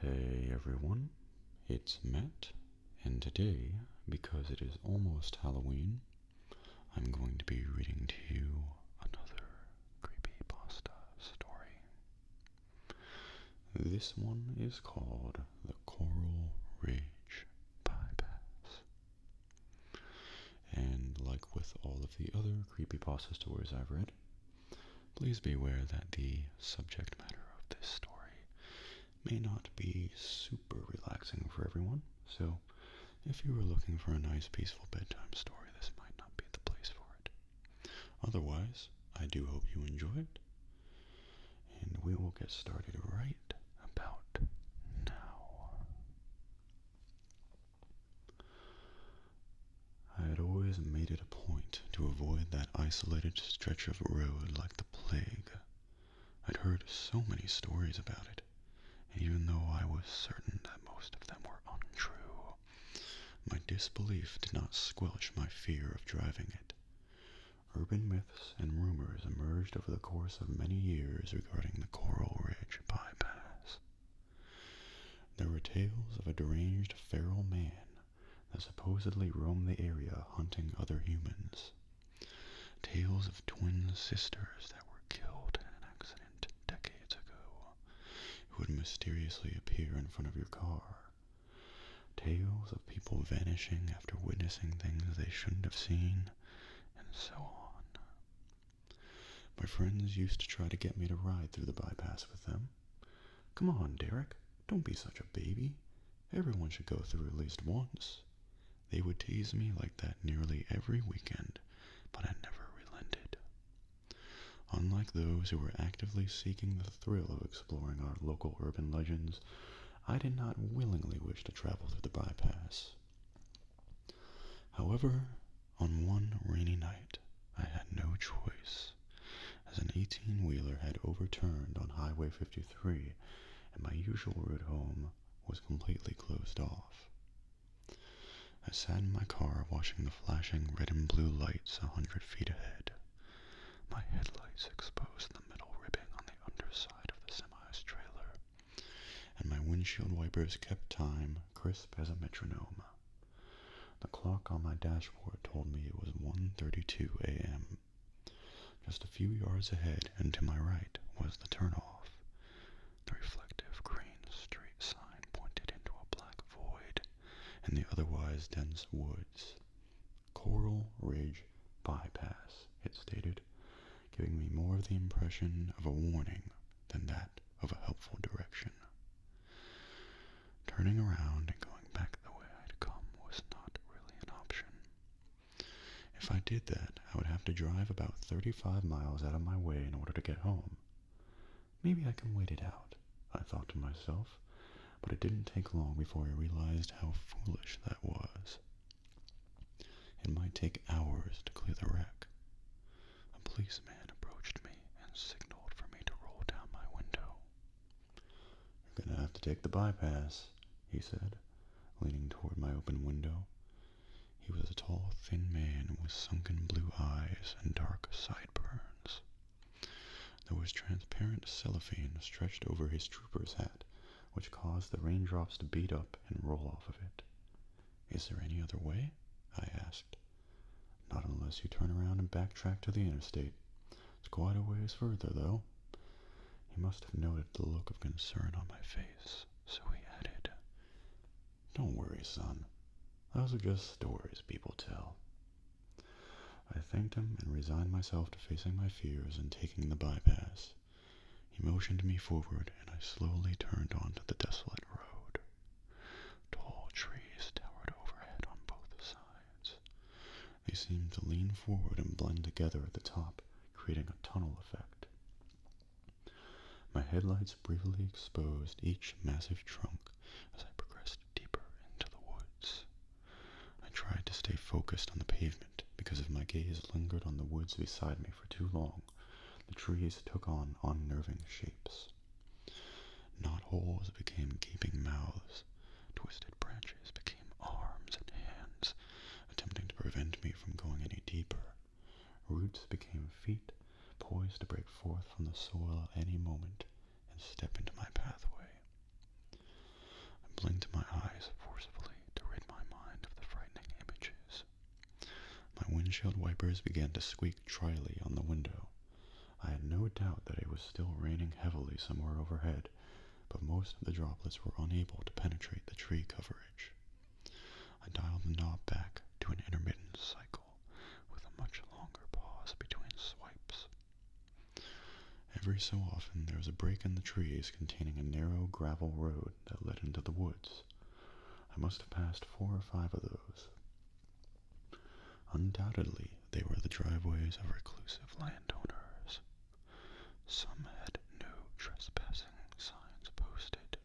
Hey everyone, it's Matt, and today, because it is almost Halloween, I'm going to be reading to you another creepy pasta story. This one is called the Coral Ridge Bypass. And like with all of the other creepy creepypasta stories I've read, please beware that the subject matter of this story may not be super relaxing for everyone. So, if you were looking for a nice peaceful bedtime story, this might not be the place for it. Otherwise, I do hope you enjoy it, and we will get started right about now. I had always made it a point to avoid that isolated stretch of road like the plague. I'd heard so many stories about it, and even though I was certain that most of them were untrue, my disbelief did not squelch my fear of driving it. Urban myths and rumors emerged over the course of many years regarding the Coral Ridge bypass. There were tales of a deranged feral man that supposedly roamed the area hunting other humans, tales of twin sisters that were killed in an accident decades ago, who would mysteriously appear in front of your car tales of people vanishing after witnessing things they shouldn't have seen, and so on. My friends used to try to get me to ride through the bypass with them. Come on, Derek, don't be such a baby. Everyone should go through at least once. They would tease me like that nearly every weekend, but I never relented. Unlike those who were actively seeking the thrill of exploring our local urban legends, I did not willingly wish to travel through the bypass. However, on one rainy night, I had no choice, as an 18-wheeler had overturned on Highway 53 and my usual route home was completely closed off. I sat in my car watching the flashing red and blue lights a hundred feet ahead. My headlights exposed the metal ribbing on the underside of the semi's trailer, and my windshield wipers kept time crisp as a metronome. The clock on my dashboard told me it was 1:32 a.m. Just a few yards ahead and to my right was the turnoff. The reflective green street sign pointed into a black void in the otherwise dense woods. Coral Ridge Bypass, it stated, giving me more of the impression of a warning than that of a helpful direction. Turning around and going back the way i had come was not really an option. If I did that, I would have to drive about 35 miles out of my way in order to get home. Maybe I can wait it out, I thought to myself, but it didn't take long before I realized how foolish that was. It might take hours to clear the wreck. A policeman approached me and signaled for me to roll down my window. You're gonna have to take the bypass, he said, leaning toward my open window. He was a tall, thin man with sunken blue eyes and dark sideburns. There was transparent cellophane stretched over his trooper's hat, which caused the raindrops to beat up and roll off of it. Is there any other way? I asked. Not unless you turn around and backtrack to the interstate. It's quite a ways further, though. He must have noted the look of concern on my face, so he added, Don't worry, son. Those are just stories people tell. I thanked him and resigned myself to facing my fears and taking the bypass. He motioned me forward, and I slowly turned onto the desolate road. Tall trees towered overhead on both sides. They seemed to lean forward and blend together at the top, creating a tunnel effect. My headlights briefly exposed each massive trunk as I progressed deeper into the woods. I tried to stay focused on the pavement because if my gaze lingered on the woods beside me for too long, the trees took on unnerving shapes. Knot holes became gaping mouths. Twisted branches became arms and hands, attempting to prevent me from going any deeper. Roots became feet, poised to break forth from the soil at any moment and step into my pathway. I blinked my eyes forcibly to rid my mind of the frightening images. My windshield wipers began to squeak dryly on the window. I had no doubt that it was still raining heavily somewhere overhead, but most of the droplets were unable to penetrate the tree coverage. I dialed the knob back to an intermittent cycle with a much longer pause between swipes. Every so often there was a break in the trees containing a narrow gravel road that led into the woods. I must have passed four or five of those. Undoubtedly, they were the driveways of reclusive landowners. Some had no trespassing signs posted.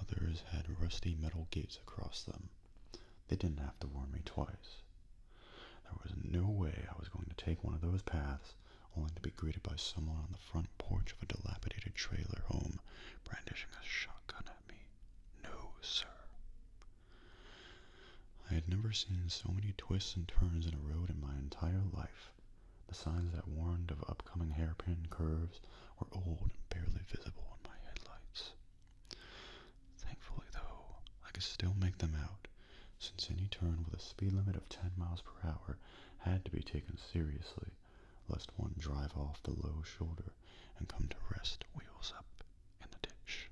Others had rusty metal gates across them. They didn't have to warn me twice. There was no way I was going to take one of those paths, only to be greeted by someone on the front porch of a dilapidated trailer home brandishing a shotgun at me. No, sir. I had never seen so many twists and turns in a road in my entire life. The signs that warned of upcoming hairpin curves were old and barely visible in my headlights. Thankfully, though, I could still make them out since any turn with a speed limit of 10 miles per hour had to be taken seriously, lest one drive off the low shoulder and come to rest wheels up in the ditch.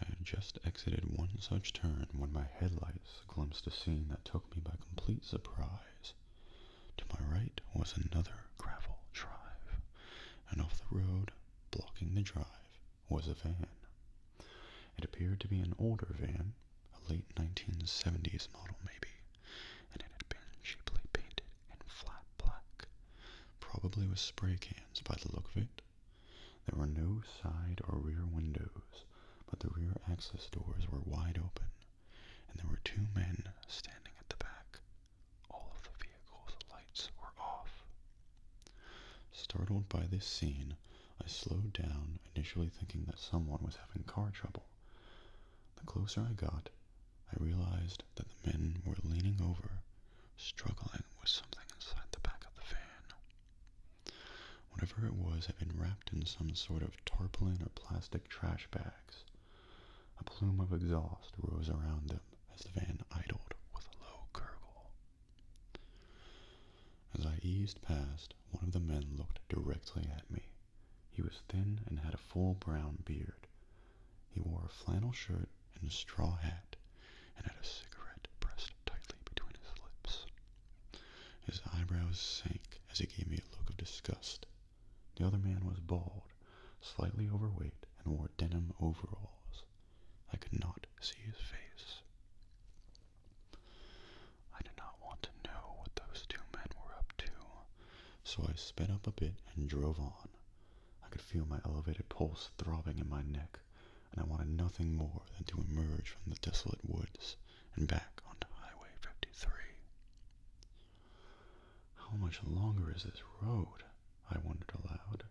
I had just exited one such turn when my headlights glimpsed a scene that took me by complete surprise. To my right was another gravel drive, and off the road, blocking the drive, was a van. It appeared to be an older van, a late 1970s model maybe, and it had been cheaply painted in flat black, probably with spray cans by the look of it. There were no side or rear windows, but the rear access doors were wide open, and there were two men standing at the back. All of the vehicle's lights were off, Startled by this scene, I slowed down, initially thinking that someone was having car trouble. The closer I got, I realized that the men were leaning over, struggling with something inside the back of the van. Whatever it was had been wrapped in some sort of tarpaulin or plastic trash bags. A plume of exhaust rose around them as the van idled with a low gurgle. As I eased past, one of the men looked directly at me. He was thin and had a full brown beard. He wore a flannel shirt and a straw hat, and had a cigarette pressed tightly between his lips. His eyebrows sank as he gave me a look of disgust. The other man was bald, slightly overweight, and wore denim overalls. I could not see his face. I did not want to know what those two men were up to, so I sped up a bit and drove on. I could feel my elevated pulse throbbing in my neck, and I wanted nothing more than to emerge from the desolate woods and back onto Highway 53. How much longer is this road? I wondered aloud.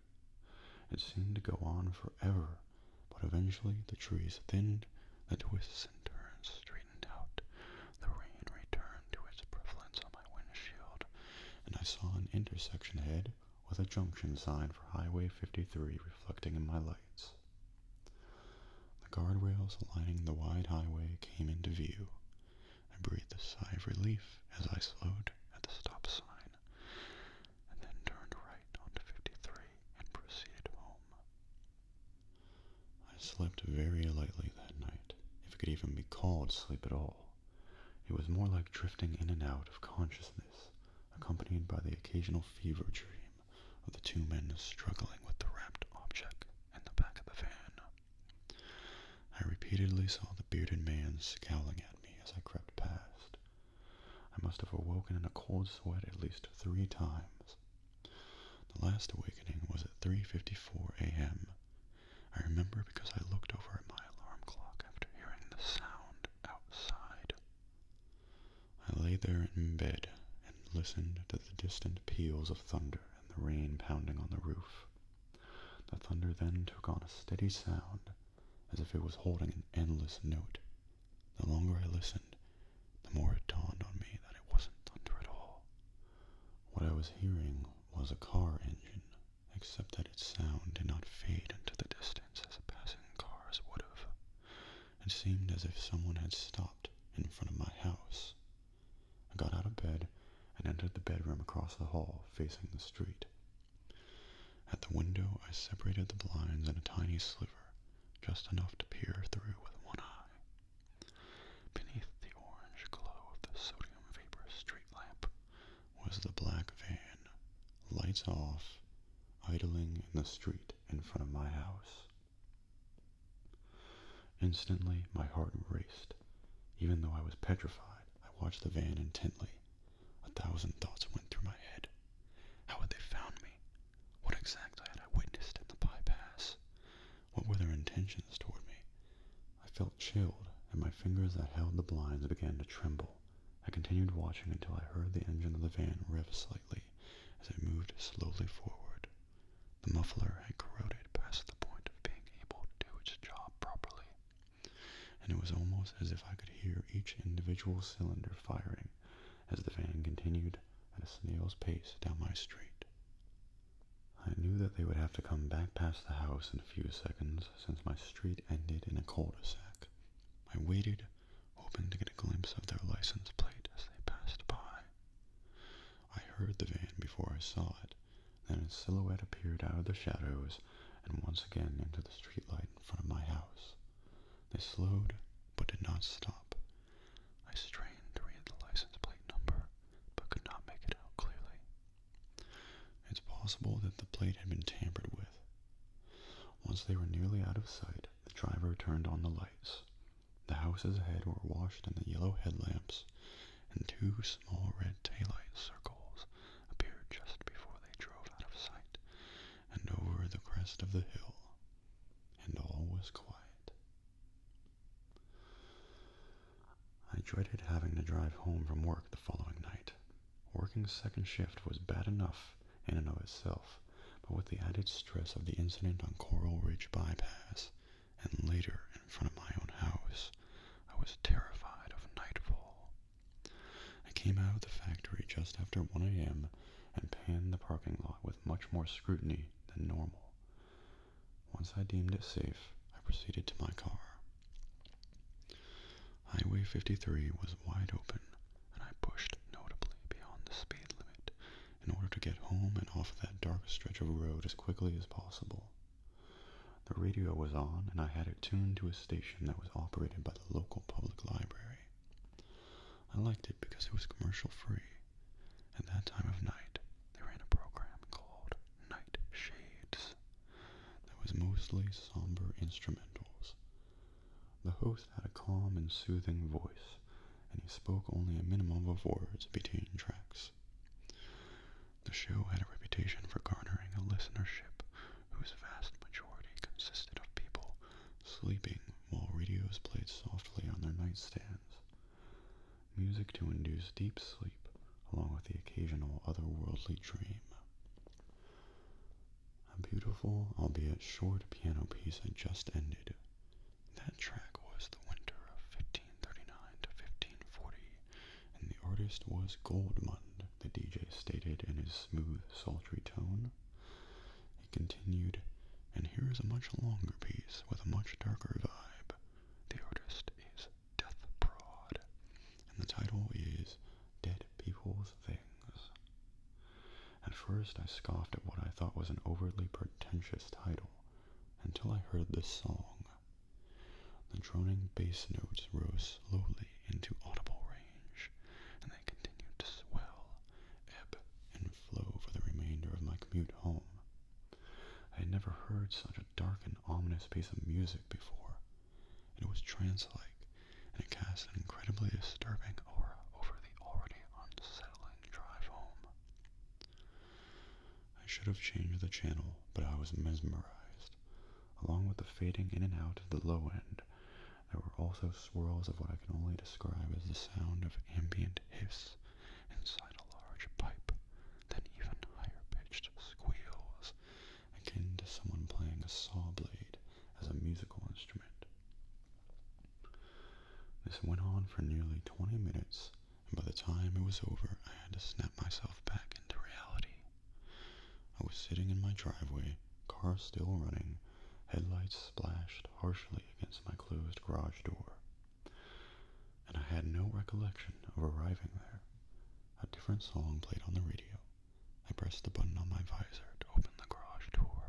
It seemed to go on forever, but eventually the trees thinned, the twists and turns straightened out, the rain returned to its prevalence on my windshield, and I saw an intersection ahead with a junction sign for Highway 53 reflecting in my lights. The guardrails lining the wide highway came into view. I breathed a sigh of relief as I slowed at the stop sign and then turned right onto 53 and proceeded home. I slept very lightly that night, if it could even be called sleep at all. It was more like drifting in and out of consciousness, accompanied by the occasional fever dream of the two men struggling with the wrapped object in the back of the van. I repeatedly saw the bearded man scowling at me as I crept past, I must have awoken in a cold sweat at least three times. The last awakening was at 3.54 a.m. I remember because I looked over at my alarm clock after hearing the sound outside. I lay there in bed and listened to the distant peals of thunder and the rain pounding on the roof. The thunder then took on a steady sound as if it was holding an endless note. The longer I listened, the more it dawned on me that it wasn't thunder at all. What I was hearing was a car engine, except that its sound did not fade into the distance as passing cars would have. It seemed as if someone had stopped in front of my house. I got out of bed and entered the bedroom across the hall facing the street. At the window I separated the blinds in a tiny sliver, just enough to peer through with one eye. Beneath the orange glow of the sodium vapor street lamp was the black van, lights off, idling in the street in front of my house. Instantly my heart raced. Even though I was petrified, I watched the van intently a thousand thoughts went through my head. How had they found me? What exactly had I witnessed in the bypass? What were their intentions toward me? I felt chilled, and my fingers that held the blinds began to tremble. I continued watching until I heard the engine of the van rev slightly as it moved slowly forward. The muffler had corroded past the point of being able to do its job properly and it was almost as if I could hear each individual cylinder firing as the van continued at a snail's pace down my street. I knew that they would have to come back past the house in a few seconds since my street ended in a cul-de-sac. I waited, hoping to get a glimpse of their license plate as they passed by. I heard the van before I saw it, then its silhouette appeared out of the shadows and once again into the streetlight in front of my house. They slowed, but did not stop. I strained to read the license plate number, but could not make it out clearly. It's possible that the plate had been tampered with. Once they were nearly out of sight, the driver turned on the lights. The houses ahead were washed in the yellow headlamps, and two small red tail light circles appeared just before they drove out of sight, and over the crest of the hill, and all was quiet. I dreaded having to drive home from work the following night. Working second shift was bad enough in and of itself, but with the added stress of the incident on Coral Ridge Bypass, and later in front of my own house, I was terrified of nightfall. I came out of the factory just after 1 a.m. and panned the parking lot with much more scrutiny than normal. Once I deemed it safe, I proceeded to my car. Highway 53 was wide open, and I pushed notably beyond the speed limit in order to get home and off that dark stretch of road as quickly as possible. The radio was on, and I had it tuned to a station that was operated by the local public library. I liked it because it was commercial free. At that time of night, they ran a program called Night Shades that was mostly somber instrumentals. The host had a calm and soothing voice, and he spoke only a minimum of words between tracks. The show had a reputation for garnering a listenership whose vast majority consisted of people sleeping while radios played softly on their nightstands. Music to induce deep sleep, along with the occasional otherworldly dream. A beautiful, albeit short, piano piece had just ended. That track was the winter of 1539 to 1540, and the artist was Goldmund the DJ stated in his smooth, sultry tone. He continued, and here is a much longer piece with a much darker vibe. The artist is Death Prod, and the title is Dead People's Things. At first, I scoffed at what I thought was an overly pretentious title until I heard this song. The droning bass notes rose slowly into audible range, and they continued to swell, ebb, and flow for the remainder of my commute home. I had never heard such a dark and ominous piece of music before, and it was trance-like, and it cast an incredibly disturbing aura over the already unsettling drive home. I should have changed the channel, but I was mesmerized, along with the fading in and out of the low end there were also swirls of what I can only describe as the sound of ambient hiss inside a large pipe, then even higher pitched squeals, akin to someone playing a saw blade as a musical instrument. This went on for nearly 20 minutes, and by the time it was over, I had to snap myself back into reality. I was sitting in my driveway, car still running, Headlights splashed harshly against my closed garage door, and I had no recollection of arriving there. A different song played on the radio. I pressed the button on my visor to open the garage door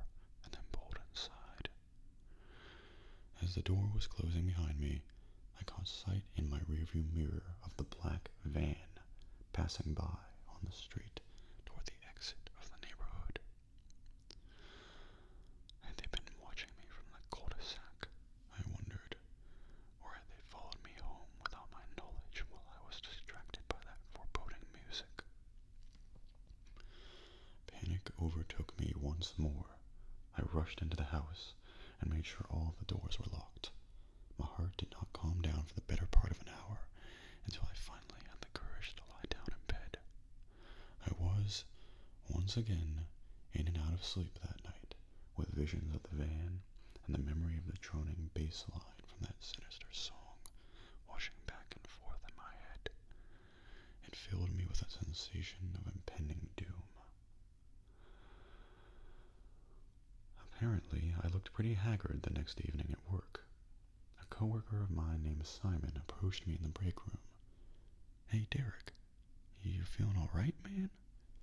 and then pulled inside. As the door was closing behind me, I caught sight in my rearview mirror of the black van passing by on the street toward the exit of the neighborhood. Had they been watching me from the cul-de-sac, I wondered, or had they followed me home without my knowledge while I was distracted by that foreboding music? Panic overtook me once more. I rushed into the house and made sure all the doors were locked. My heart did not calm down for the better part of an hour until I finally had the courage to lie down in bed. I was, once again, in and out of sleep that night, with visions of the van and the memory of the droning bass line from that sinister song washing back and forth in my head. It filled me with a sensation of impending doom. Apparently, I looked pretty haggard the next evening at work, a coworker of mine named Simon approached me in the break room. Hey, Derek, you feeling all right, man?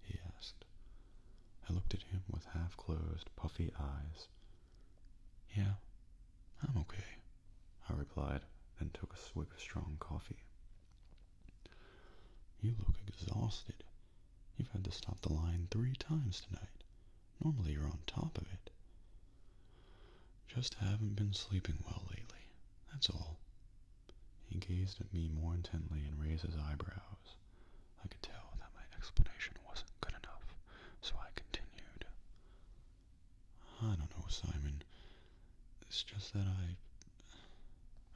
he asked. I looked at him with half-closed, puffy eyes. Yeah, I'm okay, I replied, then took a swig of strong coffee. You look exhausted. You've had to stop the line three times tonight. Normally you're on top of it. Just haven't been sleeping well lately, that's all. He gazed at me more intently and raised his eyebrows. I could tell that my explanation wasn't good enough, so I continued. I don't know, Simon. It's just that I...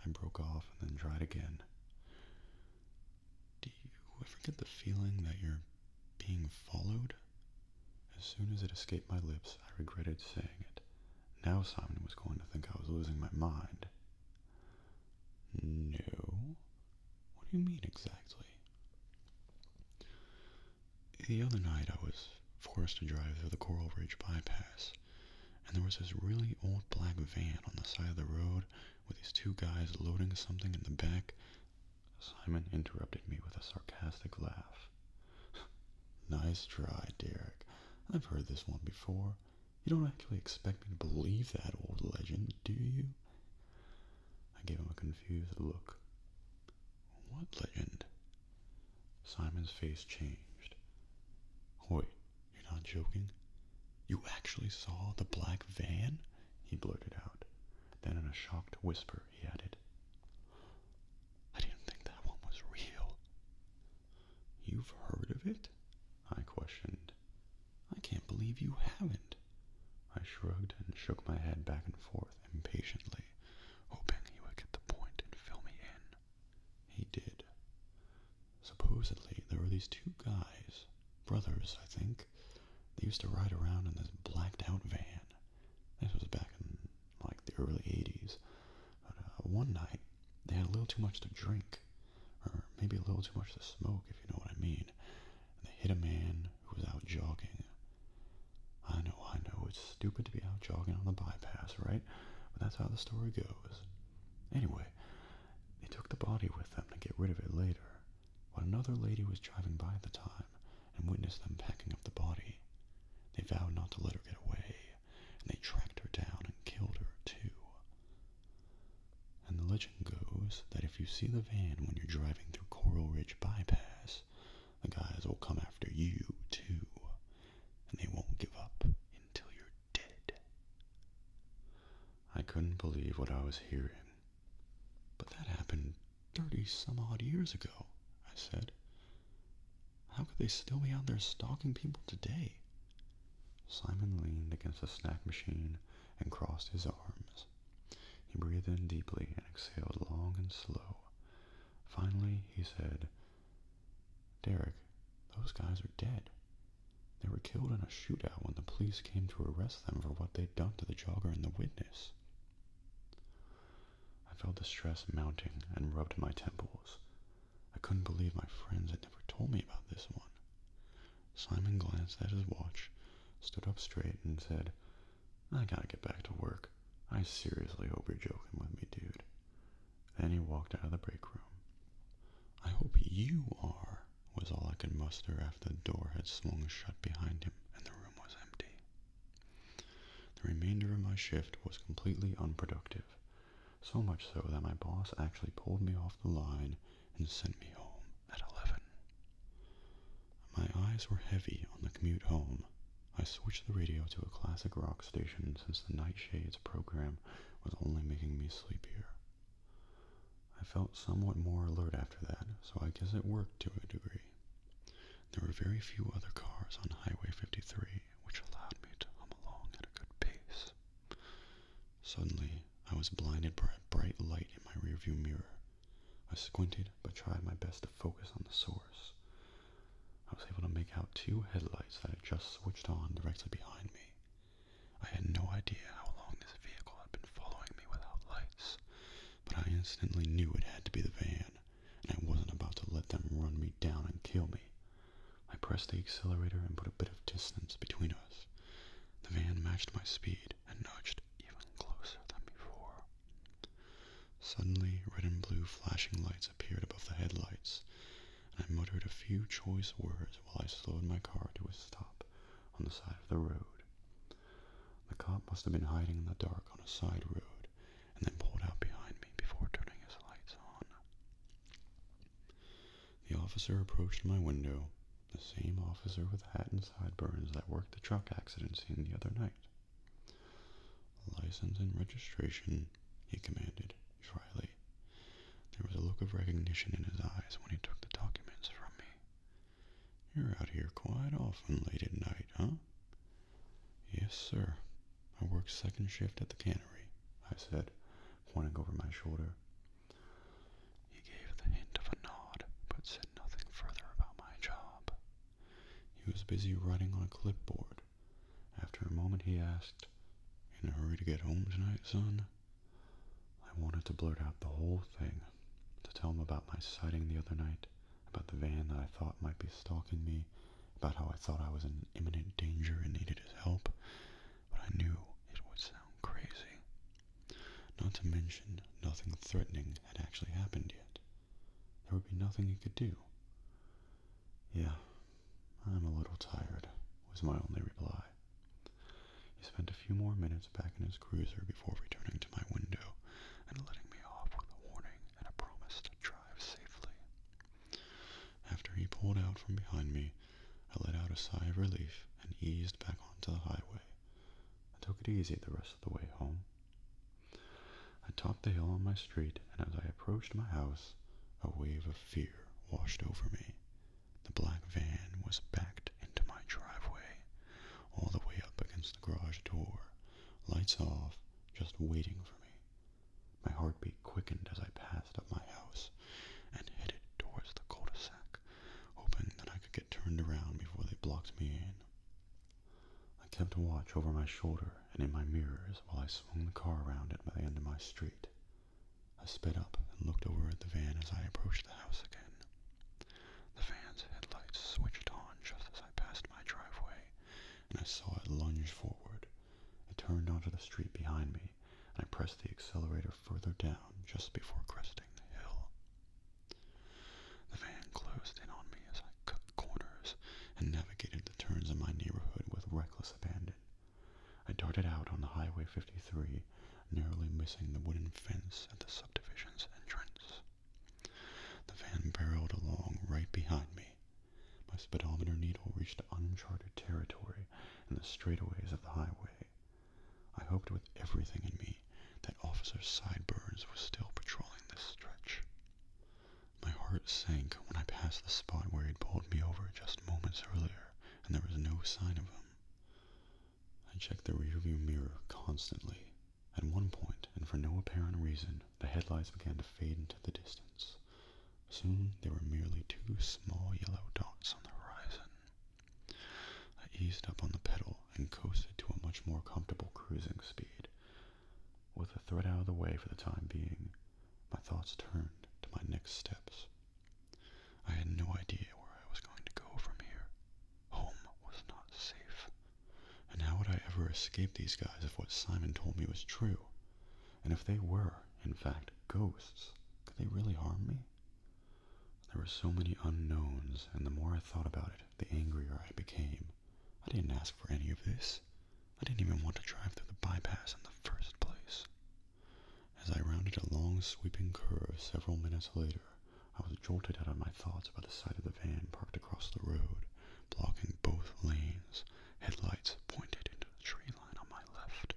I broke off and then tried again. Do you ever get the feeling that you're being followed? As soon as it escaped my lips, I regretted saying it. Now Simon was going to think I was losing my mind. No. What do you mean exactly? The other night I was forced to drive through the Coral Ridge bypass, and there was this really old black van on the side of the road with these two guys loading something in the back Simon interrupted me with a sarcastic laugh. nice try, Derek. I've heard this one before. You don't actually expect me to believe that old legend, do you? I gave him a confused look. What legend? Simon's face changed. Wait, you're not joking? You actually saw the black van? he blurted out. Then, in a shocked whisper, he added, I didn't think that one was real. You've heard of it? I questioned. I can't believe you haven't. I shrugged and shook my head back and forth impatiently, hoping he would get the point and fill me in. He did. Supposedly, there were these two guys, brothers, I think, they used to ride around in this blacked out van. This was back in like the early 80s. Uh, one night, they had a little too much to drink, or maybe a little too much to smoke, if you know what I mean. they hit a man who was out jogging. I know, I know, it's stupid to be out jogging on the bypass, right? But that's how the story goes. Anyway, they took the body with them to get rid of it later. But another lady was driving by at the time, and witnessed them packing up the body. They vowed not to let her get away, and they tracked her down and killed her too. And the legend goes that if you see the van when you're driving through Coral Ridge Bypass, the guys will come after you too, and they won't give up until you're dead. I couldn't believe what I was hearing, but that happened Thirty some odd years ago, I said. How could they still be out there stalking people today? Simon leaned against a snack machine and crossed his arms. He breathed in deeply and exhaled long and slow. Finally, he said, Derek, those guys are dead. They were killed in a shootout when the police came to arrest them for what they'd done to the jogger and the witness. I felt the stress mounting and rubbed my temples. I couldn't believe my friends had never told me about this one. Simon glanced at his watch, stood up straight, and said, I gotta get back to work. I seriously hope you're joking with me, dude. Then he walked out of the break room. I hope you are, was all I could muster after the door had swung shut behind him and the room was empty. The remainder of my shift was completely unproductive, so much so that my boss actually pulled me off the line and sent me home at 11. My eyes were heavy on the commute home. I switched the radio to a classic rock station since the Nightshades program was only making me sleepier. I felt somewhat more alert after that, so I guess it worked to a degree. There were very few other cars on Highway 53, which allowed me to come along at a good pace. Suddenly, I was blinded by a bright light in my rearview mirror. I squinted, but tried my best to focus on the source. I was able to make out two headlights that had just switched on directly behind me. I had no idea how long this vehicle had been following me without lights, but I instantly knew it had to be the van, and I wasn't about to let them run me down and kill me. I pressed the accelerator and put a bit of distance between us. The van matched my speed and nudged even closer than before. Suddenly, red and blue flashing lights appeared above the headlights, and I muttered a few choice words while I slowed my car to a stop on the side of the road. The cop must have been hiding in the dark on a side road and then pulled out behind me before turning his lights on. The officer approached my window, the same officer with hat and sideburns that worked the truck accident scene the other night. License and registration, he commanded dryly. There was a look of recognition in his eyes when he took the documents from me. You're out here quite often late at night, huh? Yes, sir. I work second shift at the cannery, I said, pointing over my shoulder. He gave the hint of a nod, but said nothing further about my job. He was busy writing on a clipboard. After a moment, he asked, In a hurry to get home tonight, son? I wanted to blurt out the whole thing, to tell him about my sighting the other night, about the van that I thought might be stalking me, about how I thought I was in imminent danger and needed his help, but I knew it would sound crazy. Not to mention, nothing threatening had actually happened yet. There would be nothing he could do. Yeah, I'm a little tired, was my only reply. He spent a few more minutes back in his cruiser before returning to my window and letting me off with a warning and a promise to drive safely. After he pulled out from behind me, I let out a sigh of relief and eased back onto the highway. I took it easy the rest of the way home. I topped the hill on my street, and as I approached my house, a wave of fear washed over me. The black van was backed into my driveway, all the way up against the garage door, lights off, just waiting for me. My heartbeat quickened as I passed up my house and headed towards the cul-de-sac, hoping that I could get turned around before they blocked me in. I kept a watch over my shoulder and in my mirrors while I swung the car around at the end of my street. I sped up and looked over at the van as I approached the house again. The van's headlights switched on just as I passed my driveway, and I saw it lunge forward. It turned onto the street behind me, and I pressed the accelerator further down just before cresting the hill. The van closed in on me as I cut corners and navigated the turns in my neighborhood with reckless abandon. I darted out on the Highway 53, narrowly missing the wooden fence at the subdivision's entrance. The van barreled along right behind me. My speedometer needle reached uncharted territory in the straightaways of the highway. I hoped with everything in me that Officer Sideburns was still patrolling this stretch. My heart sank when I passed the spot where he'd pulled me over just moments earlier, and there was no sign of him. I checked the rearview mirror constantly, at one point, and for no apparent reason, the headlights began to fade into the distance. Soon they were merely two small yellow dots on the horizon. I eased up on the pedal and coasted to a much more comfortable cruising speed. With the threat out of the way for the time being, my thoughts turned to my next steps. I had no idea where I was going to go from here. Home was not safe. And how would I ever escape these guys if what Simon told me was true? And if they were, in fact, ghosts, could they really harm me? There were so many unknowns, and the more I thought about it, the angrier I became. I didn't ask for any of this. I didn't even want to drive through the bypass in the first place. As I rounded a long sweeping curve several minutes later, I was jolted out of my thoughts by the sight of the van parked across the road, blocking both lanes, headlights pointed into the tree line on my left.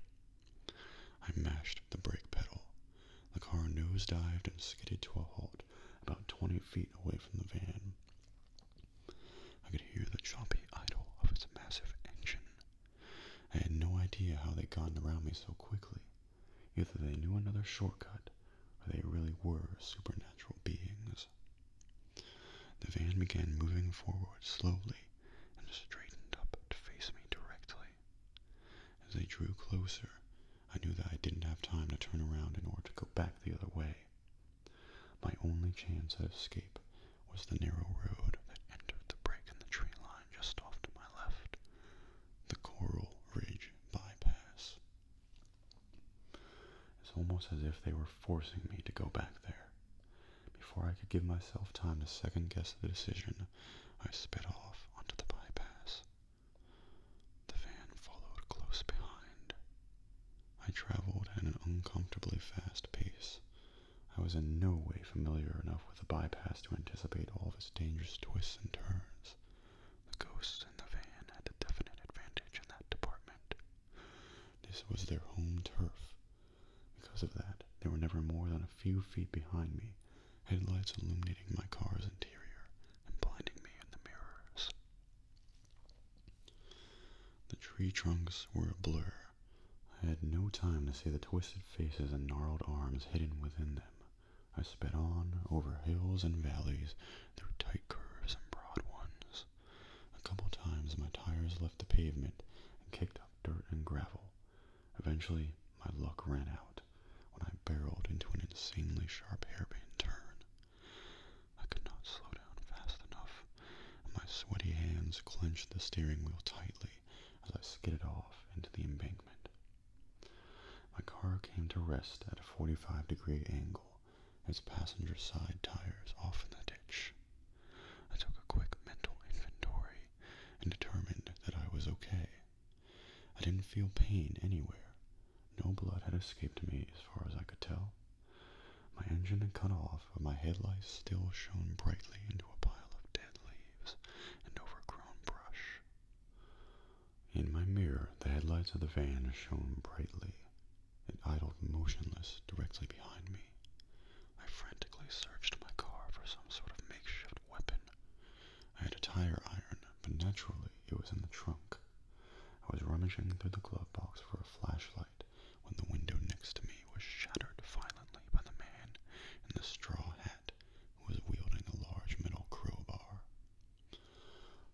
I mashed the brake pedal. The car nosedived and skidded to a halt about twenty feet away from the van. I could hear the choppy idle of its massive engine. I had no idea how they'd gotten around me so quickly, Either they knew another shortcut, or they really were supernatural beings. The van began moving forward slowly and straightened up to face me directly. As they drew closer, I knew that I didn't have time to turn around in order to go back the other way. My only chance at escape was the narrow road that entered the break in the tree line just off to my left, the Coral Ridge Bypass. It's almost as if they were forcing me to go back there. Before I could give myself time to second guess the decision, I sped off onto the bypass. The van followed close behind. I traveled at an uncomfortably fast pace. I was in no way familiar enough with the bypass to anticipate all of its dangerous twists and turns. The ghosts in the van had a definite advantage in that department. This was their home turf. Because of that, they were never more than a few feet behind me, headlights illuminating my car's interior and blinding me in the mirrors. The tree trunks were a blur. I had no time to see the twisted faces and gnarled arms hidden within them. I sped on over hills and valleys, through tight curves and broad ones. A couple times my tires left the pavement and kicked up dirt and gravel. Eventually, my luck ran out when I barreled into an insanely sharp hairpin turn. I could not slow down fast enough, and my sweaty hands clenched the steering wheel tightly as I skidded off into the embankment. My car came to rest at a 45 degree angle, its passenger side tires off in the ditch. I took a quick mental inventory and determined that I was okay. I didn't feel pain anywhere. No blood had escaped me as far as I could tell. My engine had cut off, but my headlights still shone brightly into a pile of dead leaves and overgrown brush. In my mirror, the headlights of the van shone brightly. It idled motionless directly behind me. I frantically searched my car for some sort of makeshift weapon. I had a tire iron, but naturally it was in the trunk. I was rummaging through the glove box for a flashlight when the window next to me was shattered violently by the man in the straw hat who was wielding a large metal crowbar.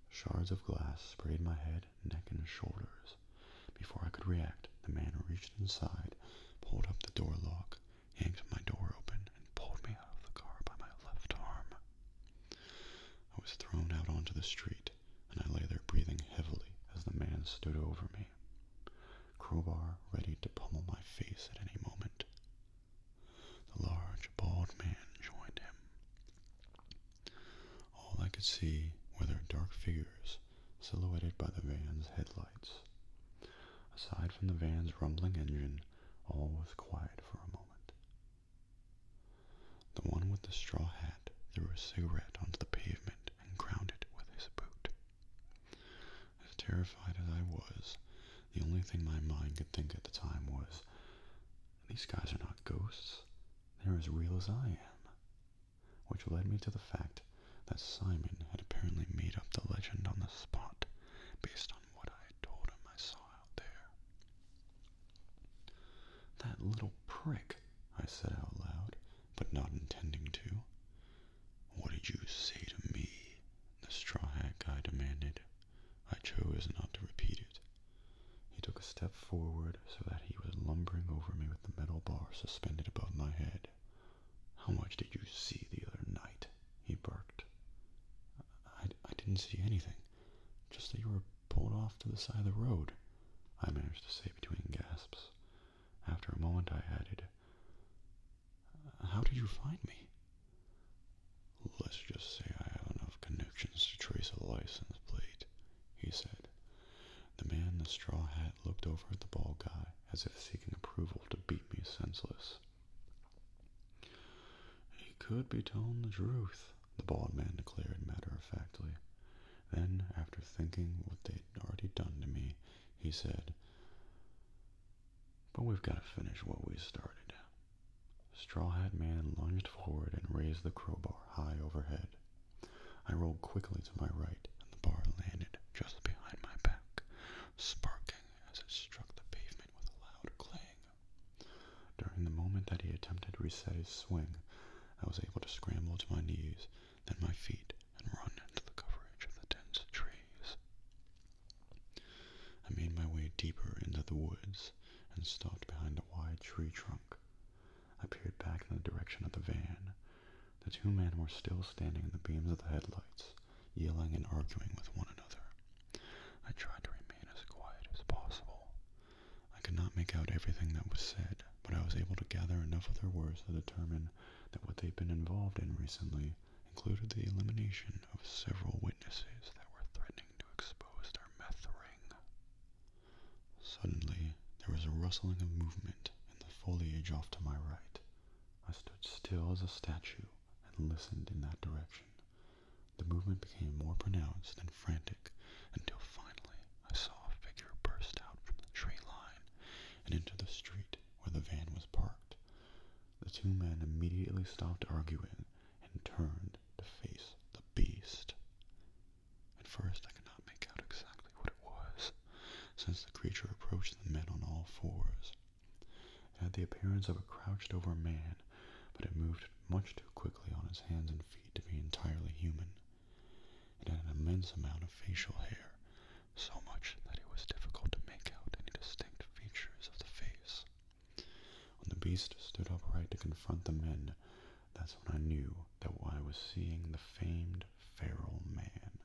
Shards of glass sprayed my head, neck, and shoulders. Before I could react, the man reached inside, pulled up the door lock, yanked my door open, and pulled me out of the car by my left arm. I was thrown out onto the street, and I lay there breathing heavily as the man stood over me, crowbar ready to pummel my face at any moment. The large, bald man joined him. All I could see were their dark figures silhouetted by the van's headlights. Aside from the van's rumbling engine, all was quiet for a moment. The one with the straw hat threw a cigarette onto the pavement and ground it with his boot. As terrified as I was, the only thing my mind could think at the time was, these guys are not ghosts. They're as real as I am. Which led me to the fact that Simon had apparently made up the legend on the spot based on what I had told him I saw out there. That little prick, I said out loud, but not intending to. What did you say to me? The straw hat guy demanded. I chose not to repeat it. He took a step forward so that he was lumbering over me with the metal bar suspended above my head. How much did you see the other night? he barked. I, I didn't see anything, just that you were pulled off to the side of the road, I managed to say between gasps. After a moment I added, How did you find me? Let's just say I have enough connections to trace a license plate, he said. The man in the straw hat looked over at the bald guy as if seeking approval to beat me senseless. He could be telling the truth, the bald man declared matter of factly. Then, after thinking what they'd already done to me, he said, But we've got to finish what we started. Straw Hat Man lunged forward and raised the crowbar high overhead. I rolled quickly to my right, and the bar landed just behind my back, sparking as it struck the pavement with a loud clang. During the moment that he attempted to reset his swing, I was able to scramble to my knees, then my feet, and run into the coverage of the dense trees. I made my way deeper into the woods, and stopped behind a wide tree trunk. I peered back in the direction of the van. The two men were still standing in the beams of the headlights, yelling and arguing with one another. I tried to remain as quiet as possible. I could not make out everything that was said, but I was able to gather enough of their words to determine that what they'd been involved in recently included the elimination of several witnesses that were threatening to expose their meth ring. Suddenly, there was a rustling of movement in the foliage off to my right. I stood still as a statue and listened in that direction. The movement became more pronounced and frantic until finally I saw a figure burst out from the tree line and into the street where the van was parked. The two men immediately stopped arguing and turned to face the beast. At first I could not make out exactly what it was, since the creature approached the men on all fours. It had the appearance of a crouched over man, but it moved much too quickly on its hands and feet to be entirely human. It had an immense amount of facial hair, so much that it was difficult to make out any distinct features of the face. When the beast stood upright to confront the men, that's when I knew that I was seeing the famed feral man.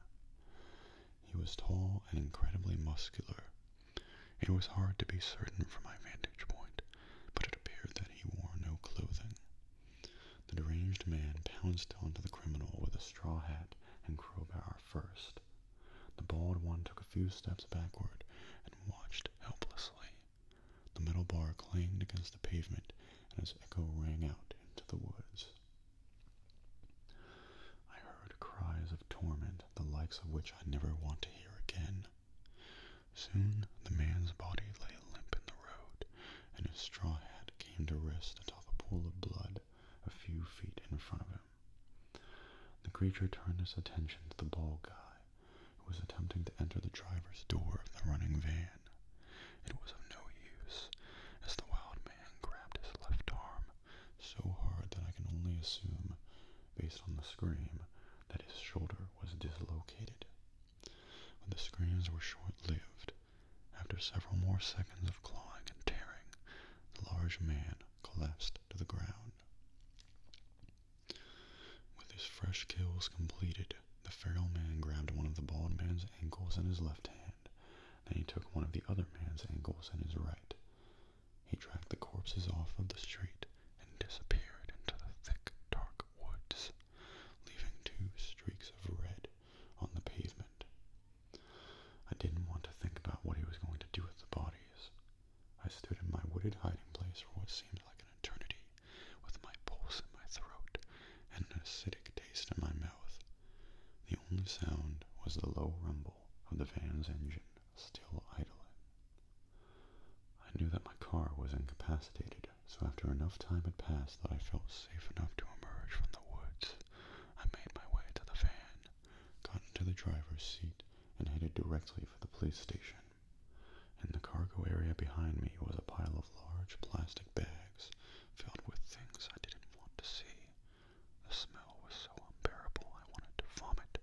He was tall and incredibly muscular. It was hard to be certain from my vantage point, but it appeared that he wore no clothing. The deranged man pounced onto the criminal with a straw hat and crowbar first. The bald one took a few steps backward and watched helplessly the metal bar clanged against the pavement, and its echo rang out into the woods. I heard cries of torment, the likes of which I never want to hear again. Soon the man's body lay limp in the road, and his straw hat came to rest atop a pool of blood a few feet in front of him. The creature turned its attention to the bald guy, who was attempting to enter the driver's door of the running van. It was of no use, as the wild man grabbed his left arm so hard that I can only assume, based on the scream, that his shoulder was dislocated. But the screams were short-lived. After several more seconds of clawing and tearing, the large man collapsed to the ground. With his fresh kills completed, the feral man grabbed one of the bald man's ankles in his left hand, then he took one of the other man's ankles in his right. He dragged the corpses off of the street and disappeared into the thick, dark woods, leaving two streaks of red on the pavement. I didn't want to think about what he was going to do with the bodies. I stood in my wooded hiding place for what seemed like an eternity, with my pulse in my throat and an acidic taste in my mouth. The only sound was the low rumble of the van's engine still idling. I knew that my car was incapacitated, so after enough time had passed that I felt safe enough to emerge from the woods, I made my way to the van, got into the driver's seat, and headed directly for the police station. In the cargo area behind me was a pile of large plastic bags filled with things I didn't want to see. The smell was so unbearable I wanted to vomit.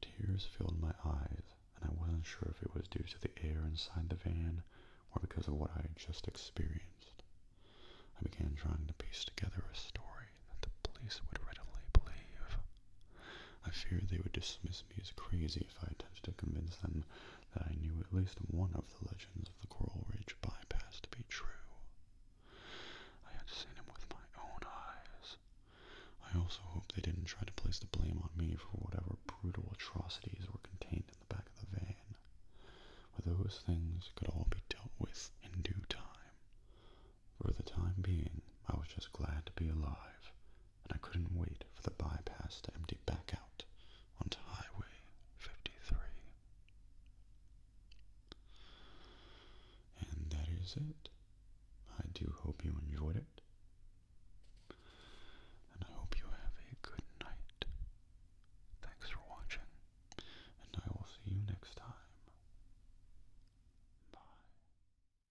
Tears filled my eyes, and I wasn't sure if it was due to the air inside the van or because of what I had just experienced. I began trying to piece together a story that the police would readily believe. I feared they would dismiss me as crazy if I attempted to convince them that I knew at least one of the legends of the Coral Ridge bypass to be true. I had seen him with my own eyes. I also hoped they didn't try to place the blame on me for whatever brutal atrocities were contained in the back of the van. But those things could all be dealt with in due time. For the time being, I was just glad to be alive and I couldn't wait for the bypass to empty back out onto Highway 53. And that is it. I do hope you enjoyed it. And I hope you have a good night. Thanks for watching, and I will see you next time. Bye.